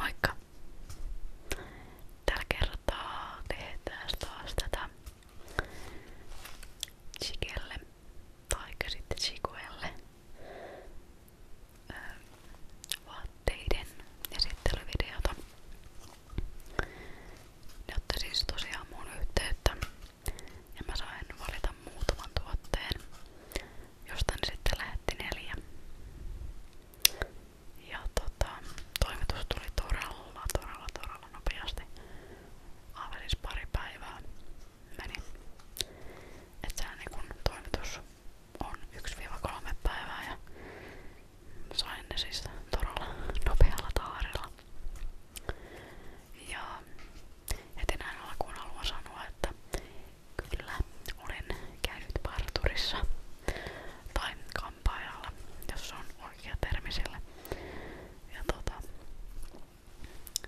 Moikka! Tällä kertaa tehdään taas tätä Chikelle tai sitten Chikuelle vaatteiden esittelyvideota. Ne otti siis tosiaan mun yhteyttä ja mä sain valita muutaman tuotteen josta ne sitten lähetti neljä. Ja tota, toimitus tuli todella, todella, todella nopeasti. Aivan siis pari päivää meni. Et sehän niin kun toimitus on 1-3 päivää ja sain ne siis todella nopealla taarilla. Ja heti näin alkuun haluan sanoa, että Kyllä, olen käynyt parturissa tai kampaajalla, jos se on oikea termi sille. Ja tota,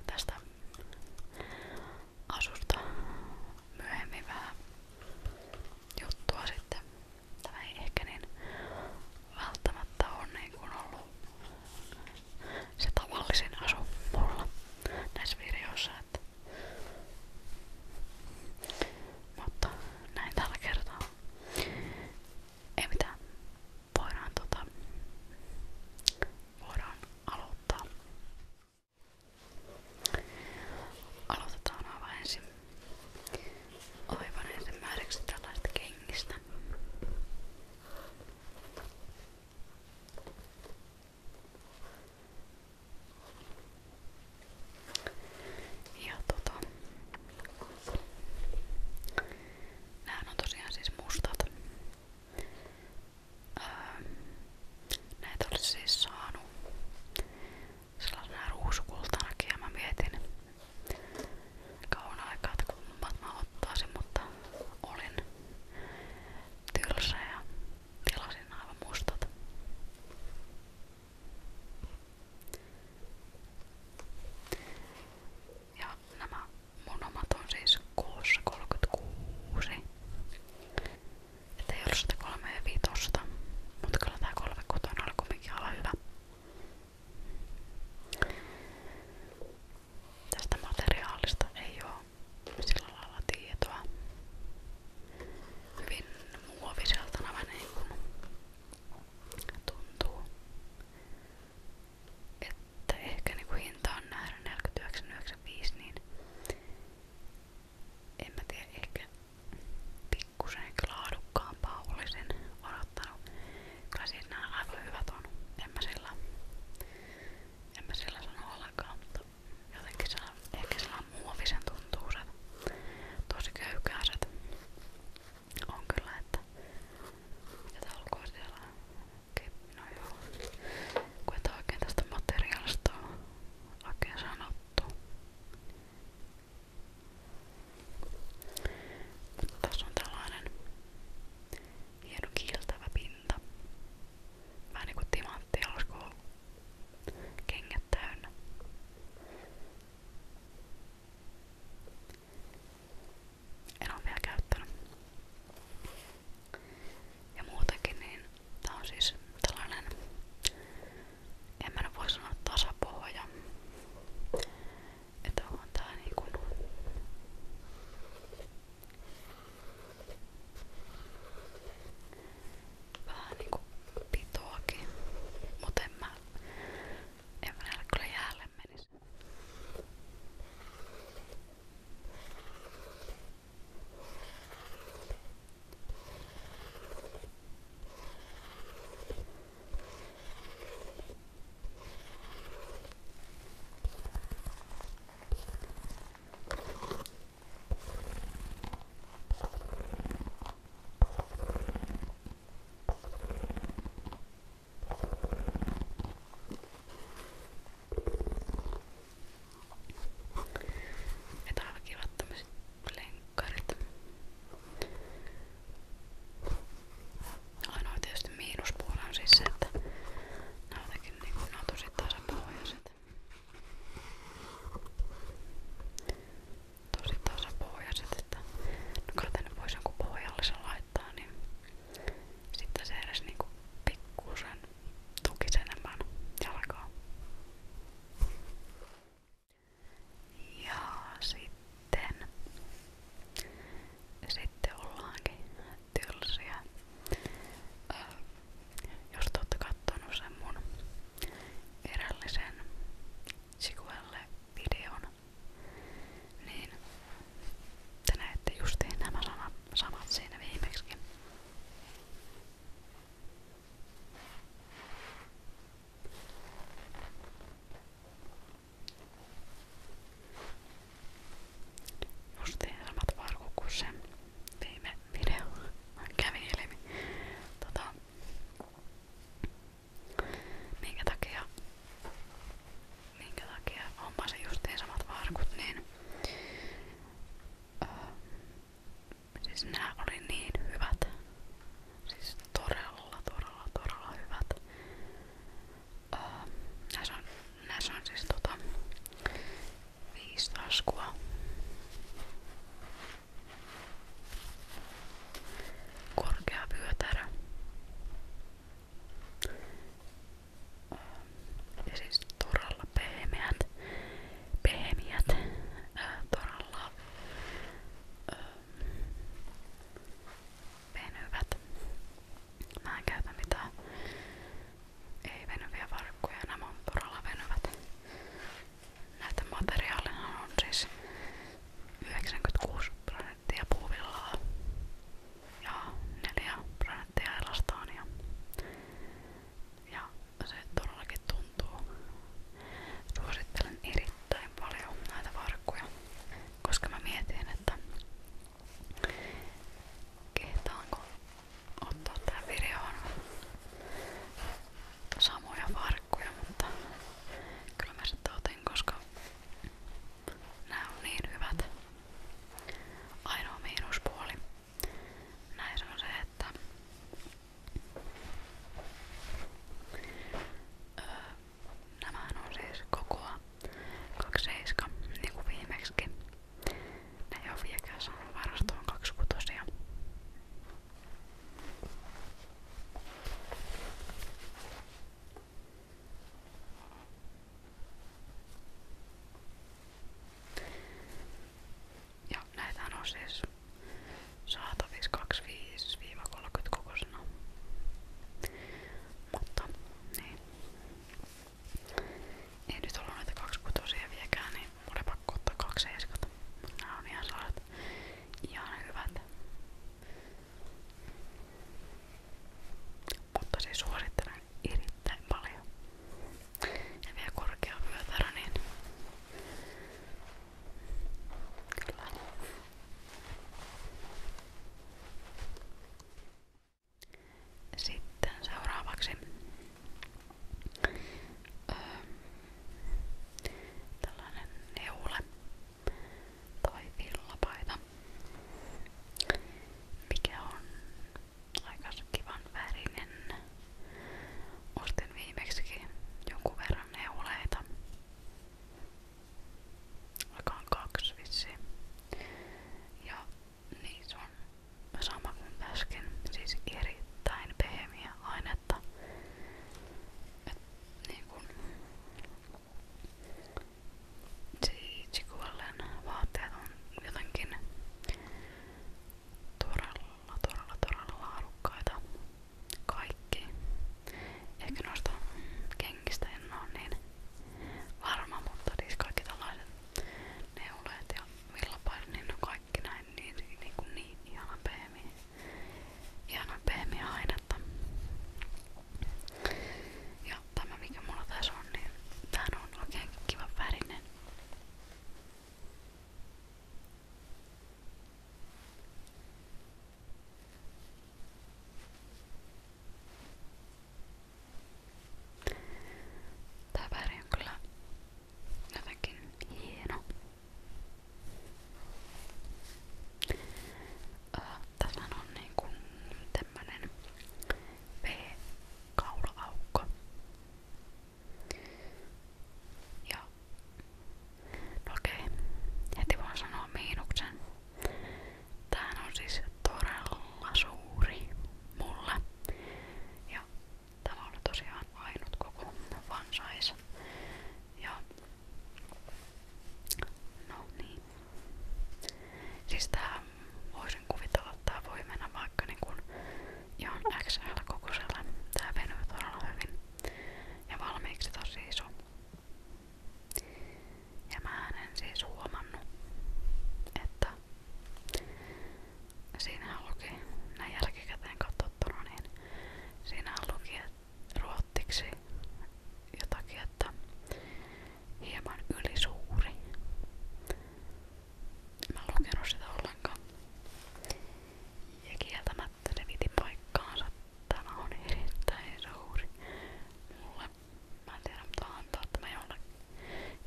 tästä asusta myöhemmin vähän juttua sitten. Tämä ei ehkä niin välttämättä on niin kuin ollut se tavallisin asu mulla näissä videoissa, että mutta näin tällä kertaa. Ei mitään. Voidaan tota... Voidaan aloittaa. Aloitetaan aivan ensin. Aivan ensimmäiseksi tällaista kengistä. Ja tota, Nämähän on tosiaan siis mustat. Öö, näitä olisi siis saanut sellaisena ruusukultanakin ja mä mietin kauan aikaa, että kummat mä ottaisin, mutta olin tylsä ja Tilasin aivan mustat. Ja nämä mun omat on siis kuussa 36. Että ei ollut sitä kolme ja viitosta, mutta kyllä tää kolme kotona oli kumminkin ala hyvä. Tästä materiaalista ei oo sillä lailla tietoa. Hyvin muoviselta nämä niin kuin tuntuu. Että ehkä niin kuin hinta on nähdä 49,95 niin en mä tiedä ehkä pikkusen laadukkaampaa olisin odottanut. Kyllä siis nämä aivan hyvät on. En mä sillä, en mä sillä sano ollenkaan, mutta Jotenkin se on, ehkä sillä on muovisen tuntuuset, tosi köykääset. On kyllä, että mitä taulukua siellä on. No joo, kun et oikein tästä materiaalista on oikein sanottu. Mutta tässä on tällainen hieno kiiltävä pinta. Vähän niinku timantti alkoi kengät täynnä. En oo vielä käyttänyt. Ja muutenkin niin tää on siis tällainen, en mä nyt voi sanoa tasapohja. Että on tää niinku Vähän niinku pitoakin. Mut en mä, en mä näillä kyllä jäälle menis. Että on aivan kivat tämmöset lenkkarit. Ainoa tietysti miinuspuoli on siis se, että nää on jotenkin niinku, nää on tosi tasapohjaiset. Tosi tasapohjaiset, että no kai tänne voisi jonkun pohjallisen laittaa, niin sitten se edes niinku pikkusen tukisi enemmän jalkaa. Ja sitten, sitten ollaankin tylsiä. jos te ootte kattonut sen videon, niin te näette justiin nämä sanat, viimeksi. Justiin samat varkukku viime videolla kävi ilmi. Tota, minkä takia, minkä takia hommasin justiin samat varkut, niin öö, siis nämä oli niin hyvät. Siis todella, todella, todella hyvät. Öö, näissä on näissä on siis tota viisi taskua. Korkea vyötärö. Öö, ja siis toralla pehmeät, pehmeät äh, toralla äh, venyvät. Mä en käytä mitään ei venyviä varkkuja, nämä on todella venyvät. Näitä materiaaleja on siis 96 prosenttia puuvillaa ja 4 prosenttia elastaania. Ja se todellakin tuntuu. Suosittelen erittäin paljon näitä varkkuja, koska mä mietin, että kehtaanko ottaa tähän videoon samoja farkkuja, mutta kyllä mä sitten otin, koska nämä on niin hyvät. Ainoa miinuspuoli näissä on se, että öö, nämä on siis kokoa 27, niin kuin viimeksikin. Näin on viekäs varastoon kaksikutosia. Ja näitä on siis saatavissa 25-30 kokoisena. Mutta niin. Ei nyt ollut näitä kaksikutosia viekään, niin mulle pakko ottaa kaksi seiskata. Mut nää on ihan saat ihan hyvät. Mutta siis suosittelen erittäin paljon. Ja vielä korkea vyötärö, niin kyllä. Sitten seuraavaksi öö, tällainen neule tai villapaita, mikä on aika kivan värinen. Ostin viimeksikin jonkun verran neuleita. Aika on kaksi vissiin. Ja niin se on sama kuin äsken, siis erittäin pehmeä ainetta. Et, niin kun, Chichikuellen vaatteet on jotenkin todella, todella, todella laadukkaita. Kaikki. Ehkä noista kengistä en ole niin varma, mutta siis kaikki tällaiset neuleet ja villapaidot, niin no kaikki näin niin, niin, niin, kuin niin ihana peemi. Ihana peemiä ainetta. Ja tämä mikä mulla tässä on, niin tää on oikein kiva värinen. Tää väri on kyllä jotenkin hieno. Äh, tässä on niinku tämmönen V-kaulaaukko. Ja no okei, heti voin sanoa miinuksen. Tämähän on siis todella todella suuri Ja tämä oli tosiaan ainut koko Ja no niin. Siis voisin kuvitella, että tää voi mennä vaikka niinku ihan XL-kokoiselle. Tää venyy todella Ja valmiiksi tosi iso. Ja mä en siis huomannut, että Siinähän luki, näin jälkikäteen katsottuna, niin siinähän luki ruottiksi jotakin, että hieman ylisuuri. Mä en lukenut sitä ollenkaan. Ja kieltämättä se piti paikkaansa. Tämä on erittäin suuri mulle. Mä en tiedä, mutta antaa tämä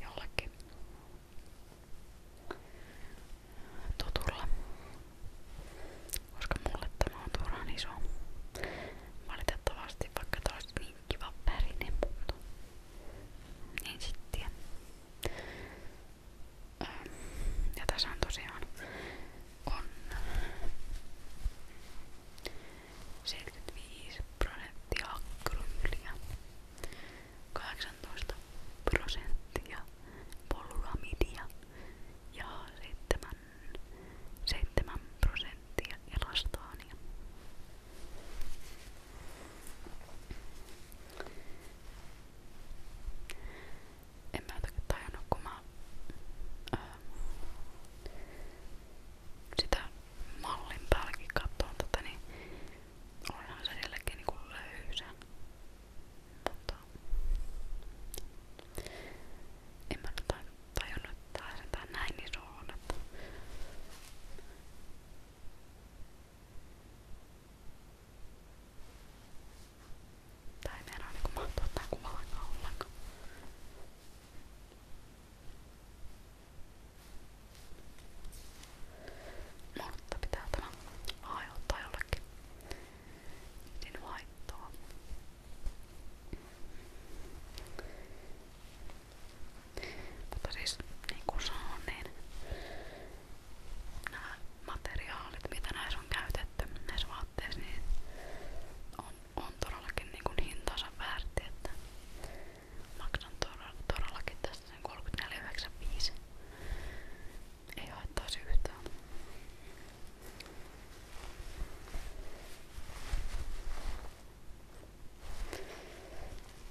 jollekin tutulla. Koska mulle tämä on turhan iso. Valitettavasti vaikka tää olisi niin kiva pärinen, mutta niin sitten. Öö, ja tässä on tosiaan on 75 prosenttia akromyyliä, 18 prosenttia polyramidia ja 7, 7 prosenttia elastaania. En mä tajunnut, kun mä, öö, sitä mallin päälläkin kattoon tätä, niin olihan se silläkin niinku löysä. Mutta en mä tajunnut, että tää sentää näin iso on, että niinku Tää ei meinaa niinku mahtua tää kuva ollenkaan. Mutta pitää tämä aiheuttaa jollekin niin vaihtoa. Mutta siis niin kuin sanoin, niin nämä materiaalit, mitä näissä on käytetty näissä vaatteissa, niin on, on todellakin niin kuin hintansa väärti, että Maksan todellakin tästä sen 34,95. Ei haittaisi yhtään.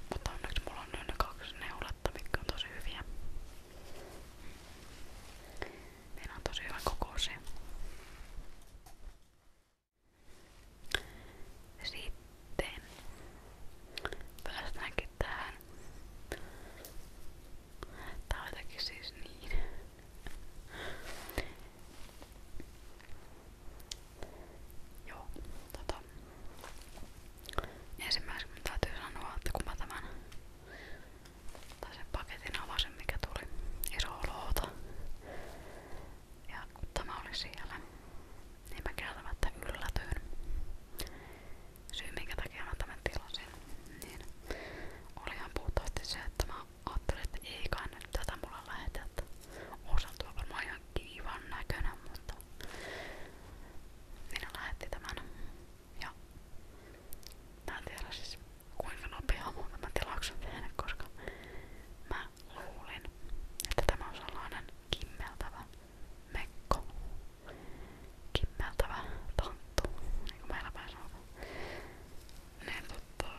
Mutta onneksi mulla on nyt ne kaksi neuletta, mitkä on tosi hyviä. Meillä on tosi hyvä kokoisia. Sitten päästäänkin tähän. Tää on jotenkin siis niin. Joo, tota. Ensimmäiseksi mun täytyy sanoa, että kun mä tämän tai sen paketin avasin mikä tuli iso loota, ja kun tämä oli siellä, niin mä kieltämättä yllätyin. Syy minkä takia mä tämän tilasin, niin olihan puhtaasti se, että mä ajattelin, että ei kai nyt tätä mulle lähetä. Osan tuo varmaan ihan kivan näköinen, mutta minä lähetti tämän. Ja mä en tiedä siis kuinka nopea mun tämän tilauksen tehnyt, koska mä luulin, että tämä on sellainen kimmeltävä mekko. Kimmeltävä tonttu, niin kuin meillä päin sanotaan. Niin tota...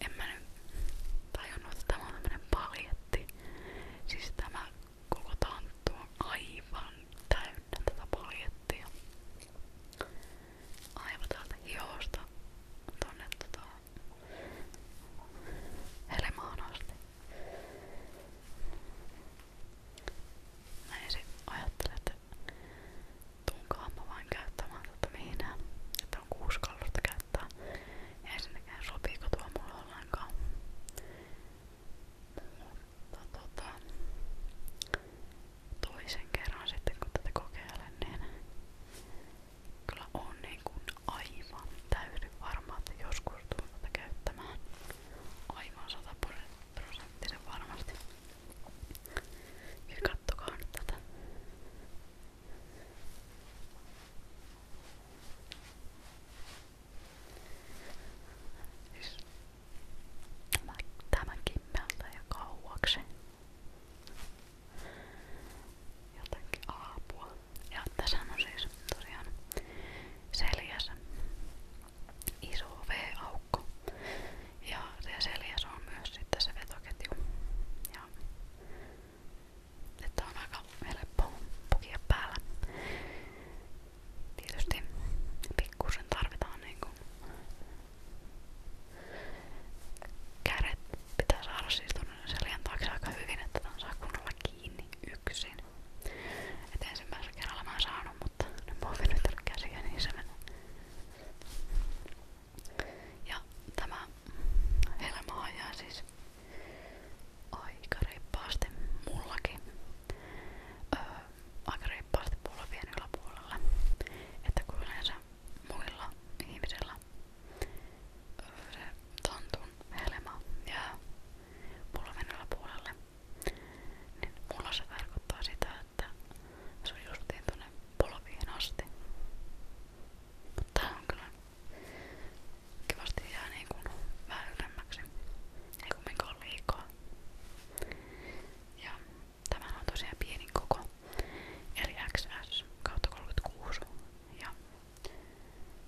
En mä nyt tajunnut, että tämä on tämmönen paljetti. Siis tämä koko tonttu on aivan täynnä tätä paljettia. Aivan täältä hiosta tonne tota helmaan asti. Mä ensin ajattelin, että tunkaan mä vain käyttämään tätä viinaa, että on kuusi kallosta käyttää. Ja ensinnäkään sopiiko tuo mulle ollenkaan. Mutta tota, toisen kerran sitten kun tätä kokeilen, niin kyllä on niin kuin aivan täyden varma, että joskus tulen tätä käyttämään aivan 100 prosenttisen varmasti. Ja kattokaa nyt tätä. Siis tämä, tämä kimmeltää ja kauaksi jotakin aapua. Ja tässä on siis tosiaan seljäs iso V-aukko. Ja se seljäs on myös sitten se vetoketju. Ja että on aika helppo pukia päällä. Tietysti pikkusen tarvitaan niinku Kädet pitää saada siis tuonne selän taakse aika hyvin, että tämän saa kunnolla kiinni yksin. Et ensimmäisellä kerralla mä en saanut, mutta nyt mä oon venyttänyt käsiä, niin se menee. Ja tämä helma ajaa siis aika reippaasti mullakin. Öö, aika reippaasti polvien yläpuolella. Että kun yleensä muilla ihmisillä tantun helma jää pulvenilla puolelle. Niin mulla se tarkoittaa sitä, että se on justiin tuonne polviin asti. Mutta tää on kyllä kivasti jää niin kuin vähän ylemmäksi. Ei kumminkaan liikaa. Ja Tämä on tosiaan pienin koko, eli XS kautta 36. Ja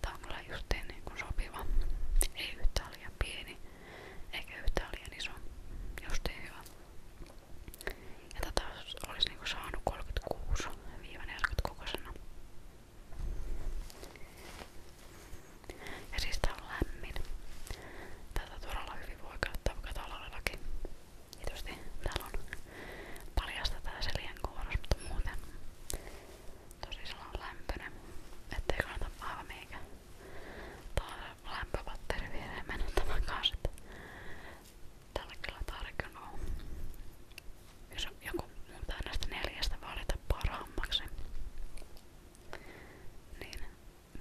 tää on kyllä justiin niin kuin sopiva. Ei yhtään liian pieni, eikä yhtään liian iso. Justiin hyvä. Ja tätä olisi niin kuin saanut 36-40 kokoisena. Ja siis tää on lämmin. Tätä todella hyvin voi käyttää vaikka talvellakin. Tietysti niin täällä on paljasta tää selien kouros, mutta muuten tosi sellainen lämpöinen, ettei kannata aivan meikä taas lämpöpatteri viereen mennä tämän kanssa. Tällä kyllä tarkin on. Jos joku mun pitää näistä neljästä valita parhaammaksi, niin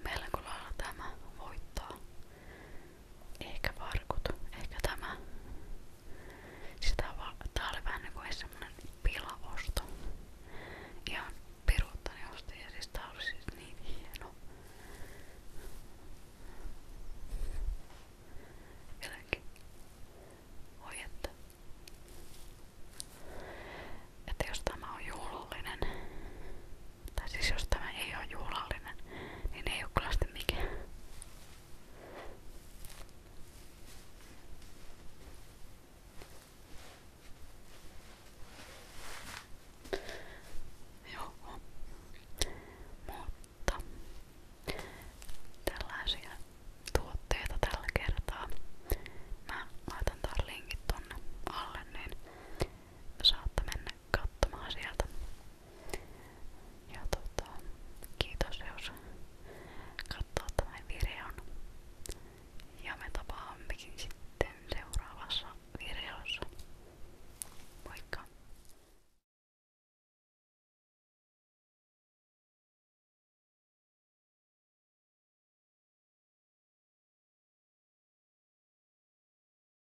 meillä kun lailla tämä voittaa. Ehkä varkut. Ehkä tämä. Sitä siis va Tää oli vähän niinku semmonen pilaosto. Ihan piruuttani ostin ja siis tää oli siis niin hieno. Vieläkin. Oi että. Että jos tämä on juhlallinen, tai siis jos tämä ei ole juhlallinen, niin ei ole kyllä sitten mikään. Joo. Mutta tällaisia tuotteita tällä kertaa. Mä laitan taas linkit tonne alle, niin saatte mennä katsomaan sieltä. Ja tota, kiitos jos katsoo tämän videon. Ja me tapaammekin sitten seuraavassa videossa. Moikka!